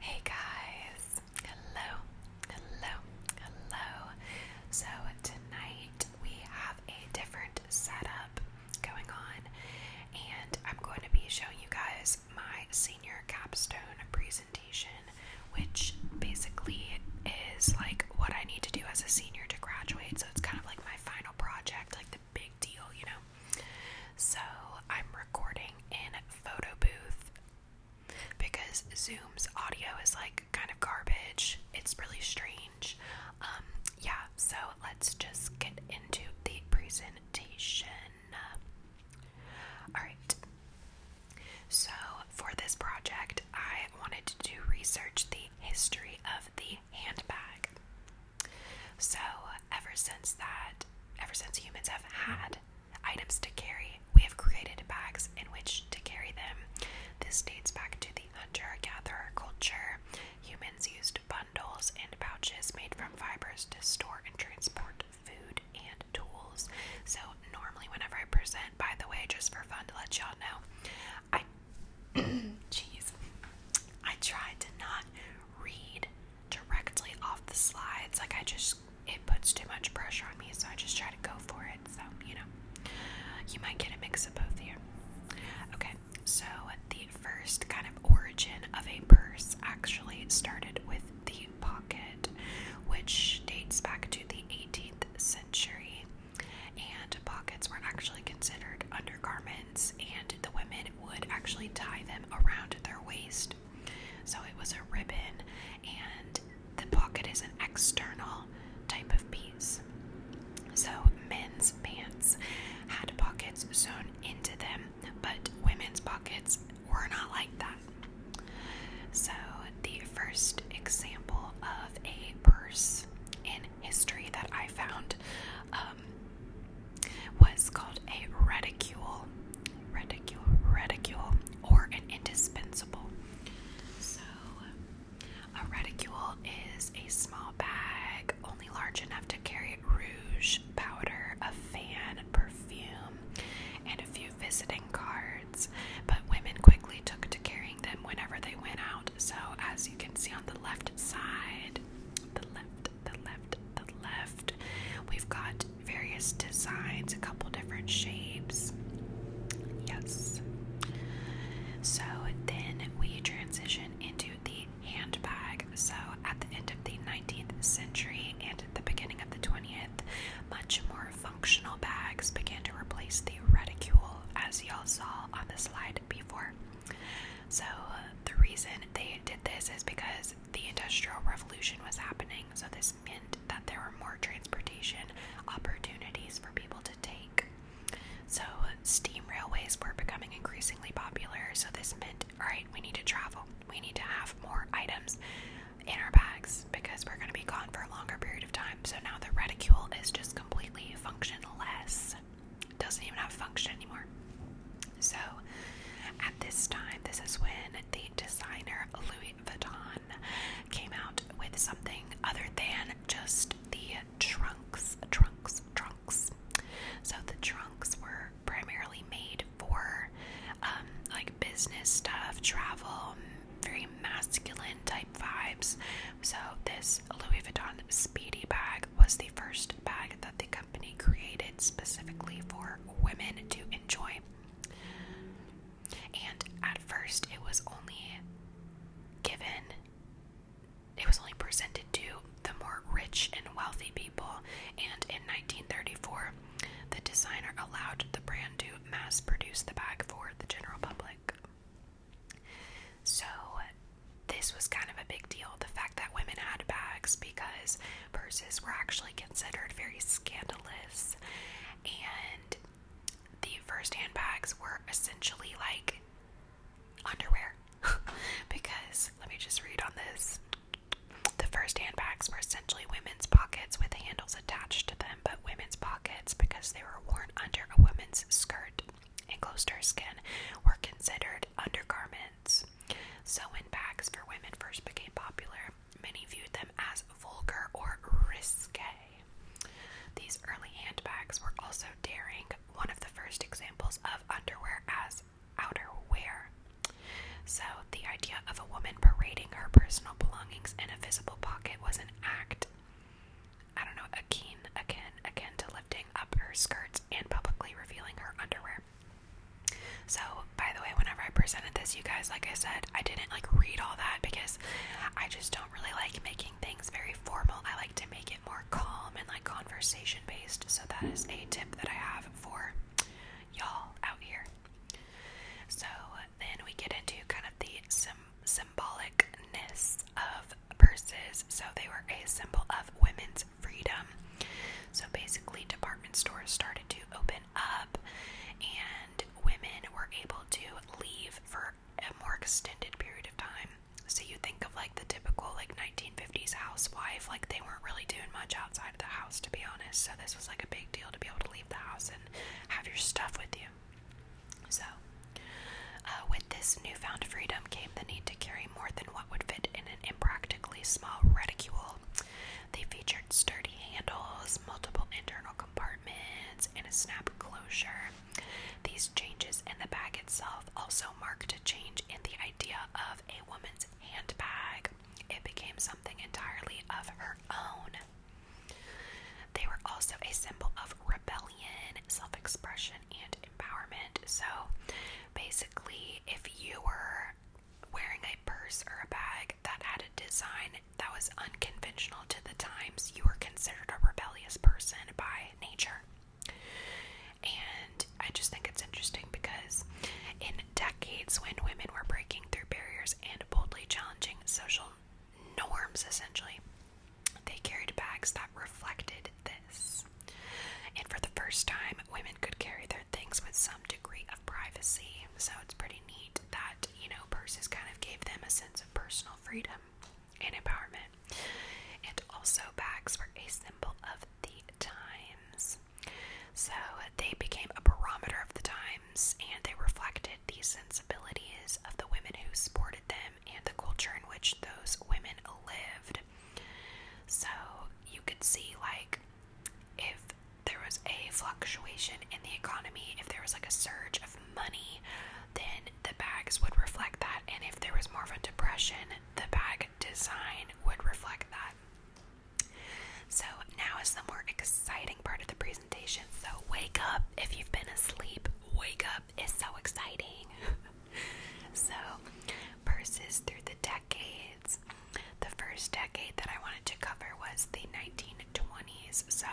Hey guys, hello, hello, hello. So, tonight we have a different setup going on, and I'm going to be showing you guys my senior capstone presentation, which basically is like what I need to do as a senior to graduate. So, it's kind of like my final project, like the big deal, you know. So I'm recording in photo booth because Zoom's audio is like kind of garbage. It's really strange. Um, yeah, so let's just get into the presentation. All right. So for this project, I wanted to do research the history of the handbag. So ever since that ever since humans have had items to carry. We have created bags in which to carry them. This dates back to the hunter gatherer culture. Humans used bundles and pouches made from fibers to store and transport food and tools. So, normally, whenever I present, by the way, just for fun to let y'all know, I, jeez, I tried to not read directly off the slides. Like I just, it puts too much pressure on me, so I just try to go for it. So, you know, you might get a mix of both here. Okay, so the first kind of origin of a purse actually started with the pocket, which dates back to the 18th century. And pockets were actually considered undergarments, and the women would actually tie them around their waist so it was a ribbon, and the pocket is an external type of piece. So men's pants had pockets sewn into them, but women's pockets were not like that. So the first example of a purse in history that I found um, what is called a reticule, reticule, reticule, or an indispensable. So, a reticule is a small bag only large enough to carry rouge, powder, a fan, perfume, and a few visiting cards. But women quickly took to carrying them whenever they went out. So, as you can see on the left side, the left the left, the left. We've got various designs, a couple different shapes. Yes. So then we transition into the handbag. So at the end of the 19th century and the beginning of the 20th, much more functional bags began to replace the reticule, as y'all saw on the slide before. So the reason they did this is because the Industrial Revolution was happening, so this meant that there were more transportation opportunities for people to take. So, steam railways were becoming increasingly popular, so this meant, alright, we need to travel. We need to have more items in our bags because we're going to be gone for a longer period of time. So now the reticule is just completely functionless. Doesn't even have function anymore. So at this time, this is when the designer Louis Vuitton came out with something other than just the trunks, trunks, trunks. So the trunks were primarily made for um, like business stuff, travel, very masculine type vibes. So this Louis Vuitton Speedy bag was the first bag that the company created specifically for women to enjoy. And at first, it was only given, it was only presented to the more rich and wealthy people. And in 1934, the designer allowed the brand to mass produce the bag for the general public. So, this was kind of a big deal the fact that women had bags because purses were actually considered very scandalous, and the first handbags were essentially like underwear. because, let me just read on this. The first handbags were essentially women's pockets with handles attached to them, but women's pockets, because they were worn under a woman's skirt and close to her skin, were considered undergarments. So, when bags for women first became popular. Many viewed them as vulgar or risque. These early handbags were also daring, one of the first examples of underwear as outerwear. So, the idea of a woman parading her personal belongings in a visible pocket was an act, I don't know, akin, again again to lifting up her skirts and publicly revealing her underwear so, by the way, whenever I presented this, you guys, like I said, I didn't like read all that because I just don't really like making things very formal. I like to make it more calm and like conversation based. So, that is a tip that I have for y'all out here. So, then we get into kind of the sim symbolicness of purses. So, they were a symbol of women's freedom. So basically, department stores started to open up, and women were able to leave for a more extended period of time. So you think of like the typical like 1950s housewife, like they weren't really doing much outside of the house to be honest. So this was like a big deal to be able to leave the house and have your stuff with you. So uh, with this newfound freedom came the need to carry more than what would fit in an impractically small reticule. They featured sturdy handles, multiple internal compartments, and a snap closure. These changes in the bag itself also marked a change in the idea of a woman's handbag. It became something entirely of her own. They were also a symbol of rebellion, self expression, and empowerment. So basically, if you were wearing a purse or a bag that had a design that was unconventional to the times, you were considered a rebellious person by nature. And I just think it's interesting because in decades when women were breaking through barriers and boldly challenging social norms, essentially, they carried bags that reflected this. And for the first time, women could carry their things with some degree of privacy. So it's pretty neat that, you know, purses kind of gave them a sense of personal freedom and empowerment. And also, bags were a symbol of the times. So they became a barometer of the times and they reflected the sensibilities of the women who sported them and the culture in which those women lived. So you could see, like, if there was a fluctuation in the economy, if there was like a surge of money, then the bags would reflect that. And if there was more of a depression, the bag design would reflect that. So now is the more exciting part of the presentation. So wake up if you've been asleep. Wake up is so exciting. so purses through the deck. The first decade that I wanted to cover was the 1920s. So,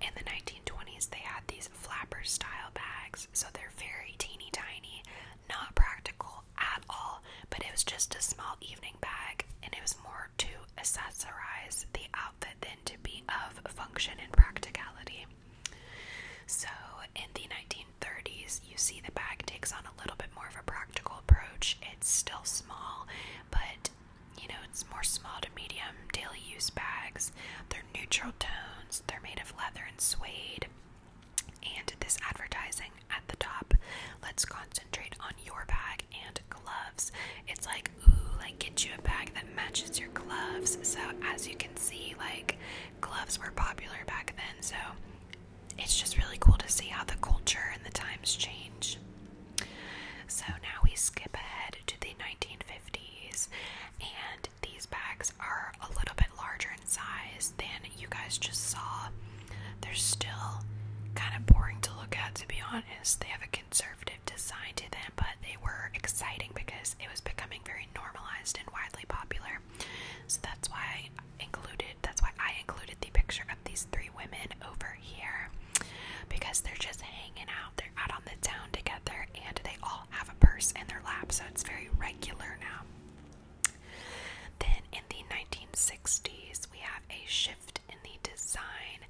in the 1920s, they had these flapper style bags. So, they're very teeny tiny, not practical at all, but it was just a small evening bag, and it was more to accessorize the outfit than to be of function and practicality. So, in the 1930s, you see the bag takes on a little bit more of a practical approach. It's still small, but you know, it's more small to medium daily use bags. They're neutral tones, they're made of leather and suede. And this advertising at the top, let's concentrate on your bag and gloves. It's like, ooh, like get you a bag that matches your gloves. So, as you can see, like gloves were popular back then. So, it's just really cool to see how the culture and the times change. So now we skip ahead to the 1950s, and these bags are a little bit larger in size than you guys just saw. They're still kind of boring to look at, to be honest. They have a conservative design to them, but they were exciting because it was becoming very normalized and widely popular. So that's why I included that's why I included the picture of these three women over here because they're just hanging out. They're out on the town together and they all have a purse in their lap, so it's very regular now. Then in the 1960s, we have a shift in the design,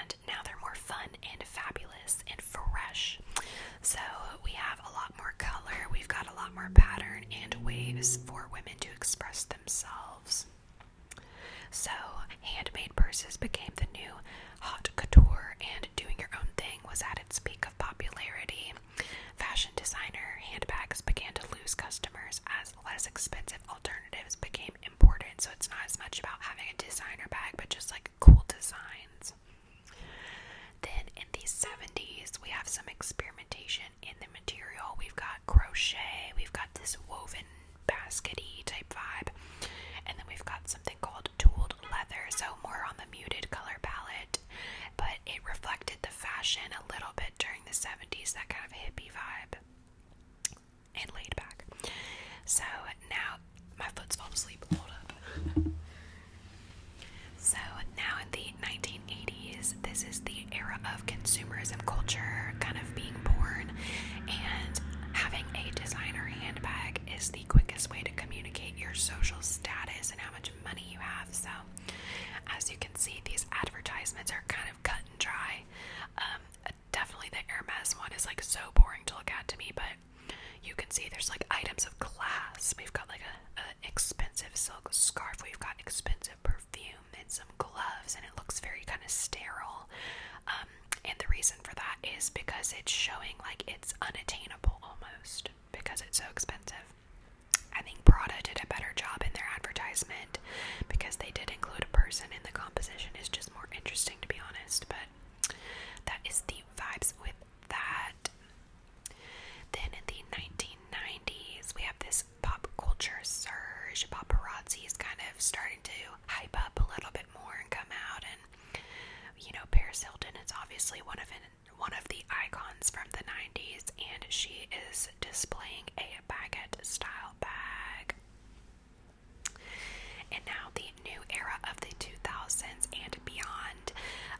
and now they're more fun and fabulous and fresh. So we have a lot more color, we've got a lot more pattern and waves for women to express themselves themselves. So, handmade purses became the new hot couture, and doing your own thing was at its peak of popularity. Fashion designer handbags began to lose customers as less expensive alternatives became important. So, it's not as much about having a designer bag, but just like cool designs. Then in the 70s, we have some experimentation in the material. We've got crochet, we've got this woven baskety type vibe, and then we've got something called tooled leather, so more on the muted color palette, but it reflected the fashion a little bit during the 70s, that kind of hippie vibe and laid back. So now my foot's falling asleep. Hold up. So now in the 1980s, this is the era of consumerism culture kind of being born, and having a designer handbag is the quickest way to communicate your social status and how much money you have. So, as you can see, these advertisements are kind of cut and dry. Um, definitely the Hermes one is like so boring to look at to me, but you can see there's like items of class. We've got like a, expensive silk scarf. We've got expensive perfume perfume and some gloves, and it looks very kind of sterile. Um, and the reason for that is because it's showing like it's unattainable almost because it's so expensive. I think Prada did a better job in their advertisement because they did include a person, in the composition is just more interesting to be honest. But that is the vibes with that. Then in the 1990s, we have this pop culture surge, paparazzi is kind of starting to hype up a little bit more and come out. And you know, Paris Hilton is obviously one of one of the icons from the '90s, and she is displaying a baguette style bag. And now the new era of the 2000s and beyond.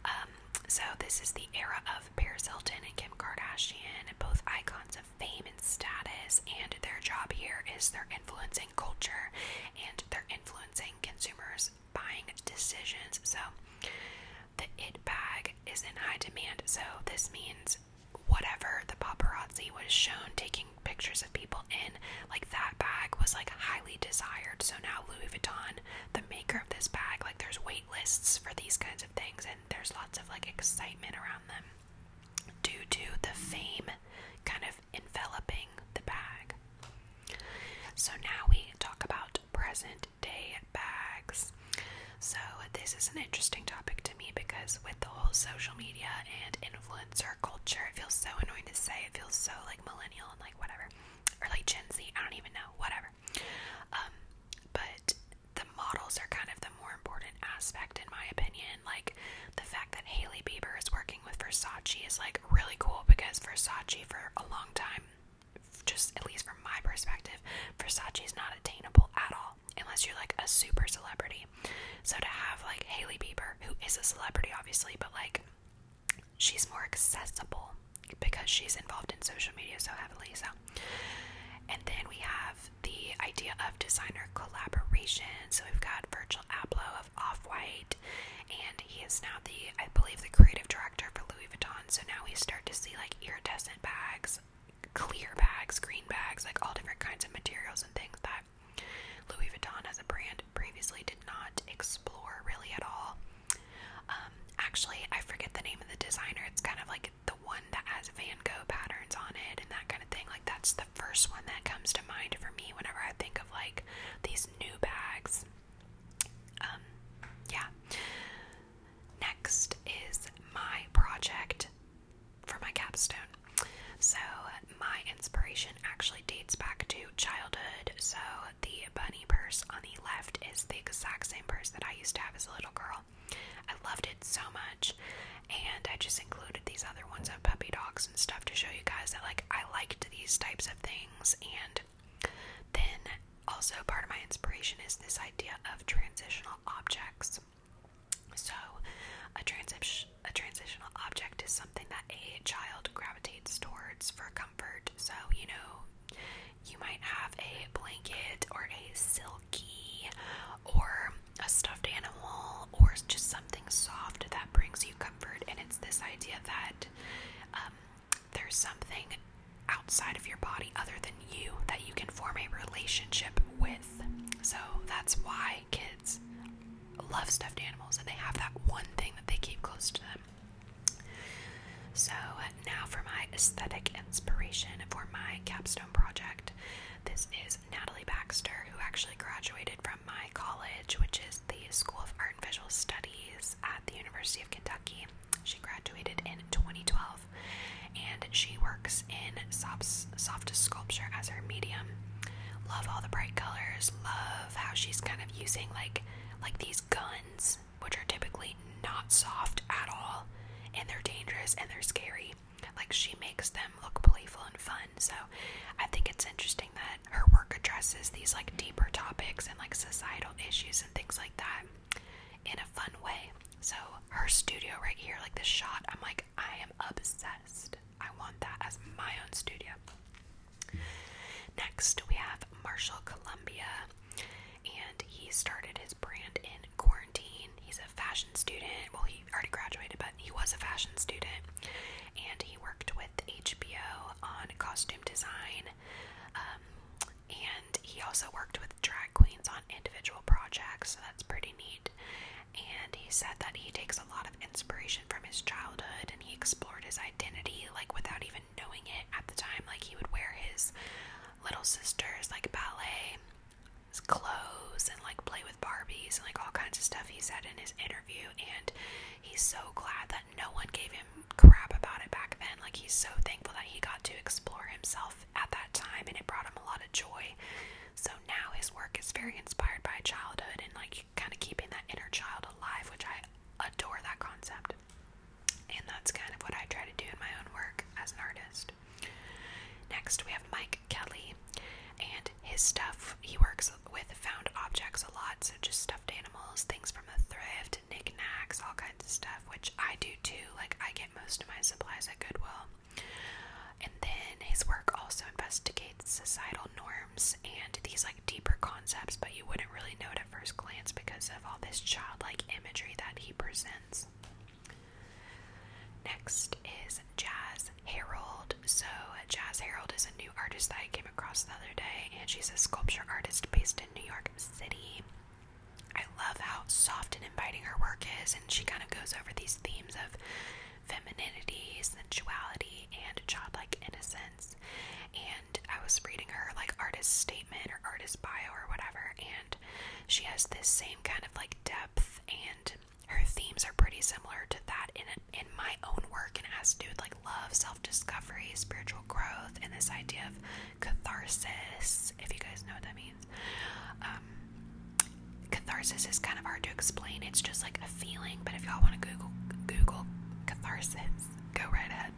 Um, so this is the era of of Paris Hilton and Kim Kardashian, both icons of fame and status, and their job here is they're influencing culture and they're influencing consumers' buying decisions. So the it bag is in high demand, so this means whatever the paparazzi was shown taking pictures of people in, like that bag was like highly desired. So now Louis Vuitton, the maker of this bag, like there's wait lists for these kinds of things, there's lots of like excitement around them due to the fame kind of enveloping the bag. So now we talk about present day bags. So this is an interesting topic to me because with the whole social media and influencer culture, it feels so annoying to say. It feels so like millennial and like whatever. Or like Gen Z, I don't even know, whatever. Um, but the models are kind of the more important aspect, in my opinion. Like the fact that Haley Bieber is working with Versace is like really cool because Versace, for a long time, just at least from my perspective, Versace is not attainable at all unless you're like a super celebrity. So to have like Haley Bieber, who is a celebrity, obviously, but like she's more accessible because she's involved in social media so heavily. So and then we have the idea of designer collaboration. So we've got Virgil Abloh of Off White, and he is now the, I believe, the creative director for Louis Vuitton. So now we start to see like iridescent bags, clear bags, green bags, like all different kinds of materials and things that Louis Vuitton as a brand previously did not explore really at all. Um, actually, I forget the name of the designer. It's kind of like the one that has Van Gogh patterns on it and that kind of thing. Like that's the first one that comes to mind for me whenever I think of like these new bags. Um, yeah. Next is my project for my capstone. So my inspiration actually dates back to childhood. So the bunny purse on the left is the exact same purse that I used to have as a little girl. I loved it so much, and I just included these other ones of puppy dogs and stuff to show you guys that like I liked these types of things. And then also part of my inspiration is this idea of transitional objects. So a transitional object is something that a child gravitates towards for comfort. So you know, you might have a blanket or a silky or a stuffed animal or just something soft that brings you comfort. And it's this idea that um, there's something outside of your body other than you that you can form a relationship with. So that's why kids love stuffed animals and they have that one thing that they keep close to them. So now for my aesthetic inspiration for my capstone project. This is Natalie Baxter, who actually graduated from my college, which is the School of Art and Visual Studies at the University of Kentucky. She graduated in 2012 and she works in soft, sculpture as her medium. Love all the bright colors, love how she's kind of using like like these guns which are typically not soft at all, and they're dangerous and they're scary. Like she makes them look playful and fun. So I think it's interesting that her work addresses these like deeper topics and like societal issues and things like that in a fun way. So her studio right here, like this shot, I'm like, I am obsessed. I want that as my own studio. Next, we have Marshall Columbia, and he started his brand in quarantine. He's a fashion student. Well, he already graduated, but he was a fashion student. And he worked with HBO on costume design. Um, and he also worked with drag queens on individual projects, so that's pretty neat. And he said that he takes a lot of inspiration from his childhood and he explored his identity like without even knowing it at the time. Like he would wear his little sisters, like ballet, clothes, and like play with Barbies, and like all kinds of stuff he said in his interview. And he's so glad that no one gave him crap about it back then. Like, he's so thankful that he got to explore himself at that time, and it brought him a lot of joy. So now his work is very inspired by childhood and like kind of keeping that inner child alive, which I adore that concept. And that's kind of what I try to do in my own work as an artist. Next, we have Mike Kelly and his stuff. He works with found objects a lot, so just stuffed animals, things from the thrift, knickknacks, all kinds of stuff, which I do too. Like, I get most of my supplies at Goodwill. And then his work also investigates societal norms and these like deeper concepts, but you wouldn't really know it at first glance because of all this childlike imagery that he presents. Next is Jazz Harold. So, Jazz Harold is a new artist that I came across the other day, and she's a sculpture artist based in New York City. I love how soft and inviting her work is, and she kind of goes over these themes of femininity, sensuality, and childlike innocence. And I was reading her like artist statement or artist bio or whatever, and she has this same kind of like depth and her themes are pretty similar to that in in my own work and as has to like love, self-discovery, spiritual growth, and this idea of catharsis, if you guys know what that means. Um, catharsis is kind of hard to explain. It's just like a feeling, but if y'all want to Google Google catharsis, go right ahead.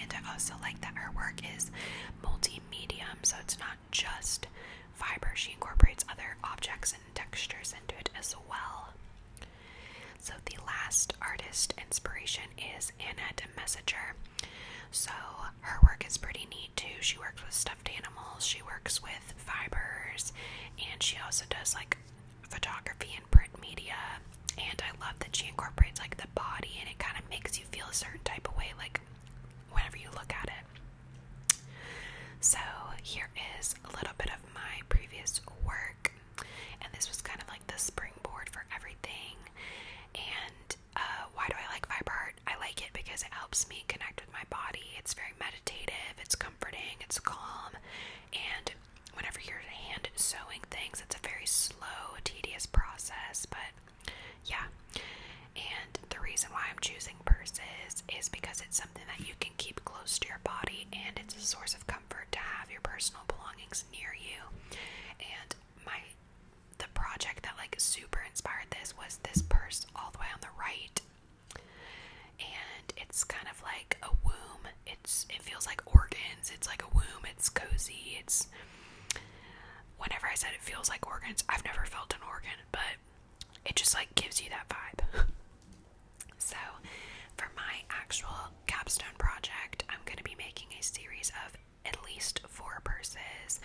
And I also like that her work is multi medium, so it's not just fiber. She incorporates other objects and textures into it as well. So, the last artist inspiration is Anna de So, her work is pretty neat too. She works with stuffed animals, she works with fibers, and she also does like photography and print media. And I love that she incorporates like the body and it kind of makes you feel a certain type of way. Like, whenever you look at it. So here is a little bit of my previous work, and this was kind of like the springboard for everything. And uh, why do I like vibart? I like it because it helps me connect with my body. It's very meditative, it's comforting, it's calm, and whenever you're hand sewing things, it's a very slow, tedious process, but yeah. And the reason why I'm choosing purses is because it's something that you can keep close to your body and it's a source of comfort to have your personal belongings near you. And my the project that like super inspired this was this purse all the way on the right. And it's kind of like a womb. It's it feels like organs. It's like a womb. It's cozy. It's whenever I said it feels like organs, I've never felt an organ, but it just like gives you that vibe. so, for my actual capstone project, I'm going to be making a series of at least four purses,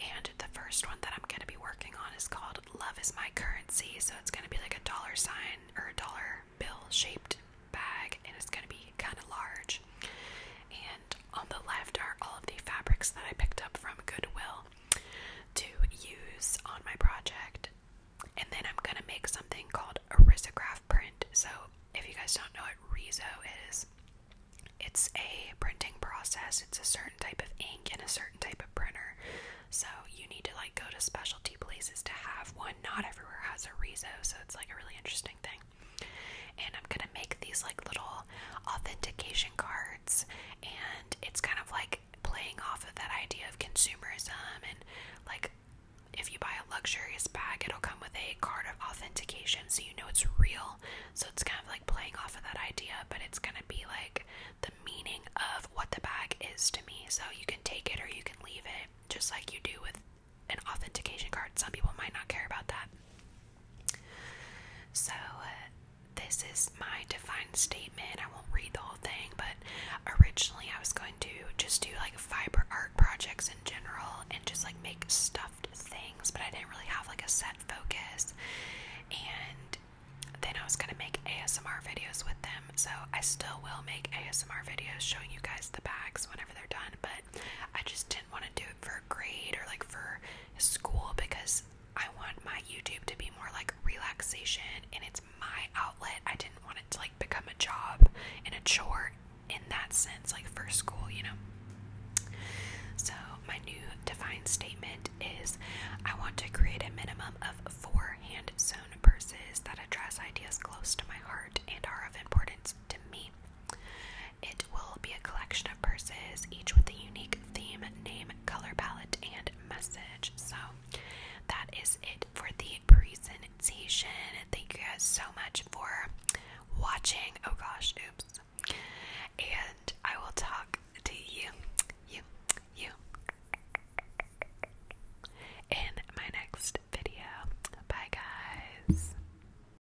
and the first one that I'm going to be working on is called Love is My Currency. So, it's going to be like a dollar sign or a dollar bill shaped bag, and it's going to be kind of large on the left are all of the fabrics that I picked up from Goodwill to use on my project. And then I'm gonna make something called a risograph print. So if you guys don't know what Rizo is, it's a printing process. It's a certain type of ink and a certain type of printer. So you need to like go to specialty places to have one. Not everywhere has a Rizo, so it's like a really interesting thing. And I'm gonna make these like little authentication cards, and it's kind of like playing off of that idea of consumerism and like if you buy a luxurious bag, it'll come with a card of authentication so you know it's real. So it's kind of like playing off of that idea, but it's gonna be like the meaning of what the bag is to me. So you can take it or you can leave it, just like you do with an authentication card. Some people might not care about that. So, uh, this is my defined statement. I won't read the whole thing, but originally I was going to just do like fiber art projects in general and just like make stuffed things, but I didn't really have like a set focus. And then I was going to make ASMR videos with them. So, I still will make ASMR videos showing you guys the bags whenever they're done, but I just didn't want to do for a grade or like for school because I want my YouTube to be more like relaxation and it's my outlet. I didn't want it to like become a job and a chore in that sense, like for school, you know. So, my new defined statement is I want to create a minimum of four hand sewn purses that address ideas close to my heart and are of importance to me. It will be a collection of purses, each with a unique theme, name, color palette, and message. So that is it for the presentation. Thank you guys so much for watching. Oh gosh, oops. And I will talk to you, you, you in my next video. Bye, guys.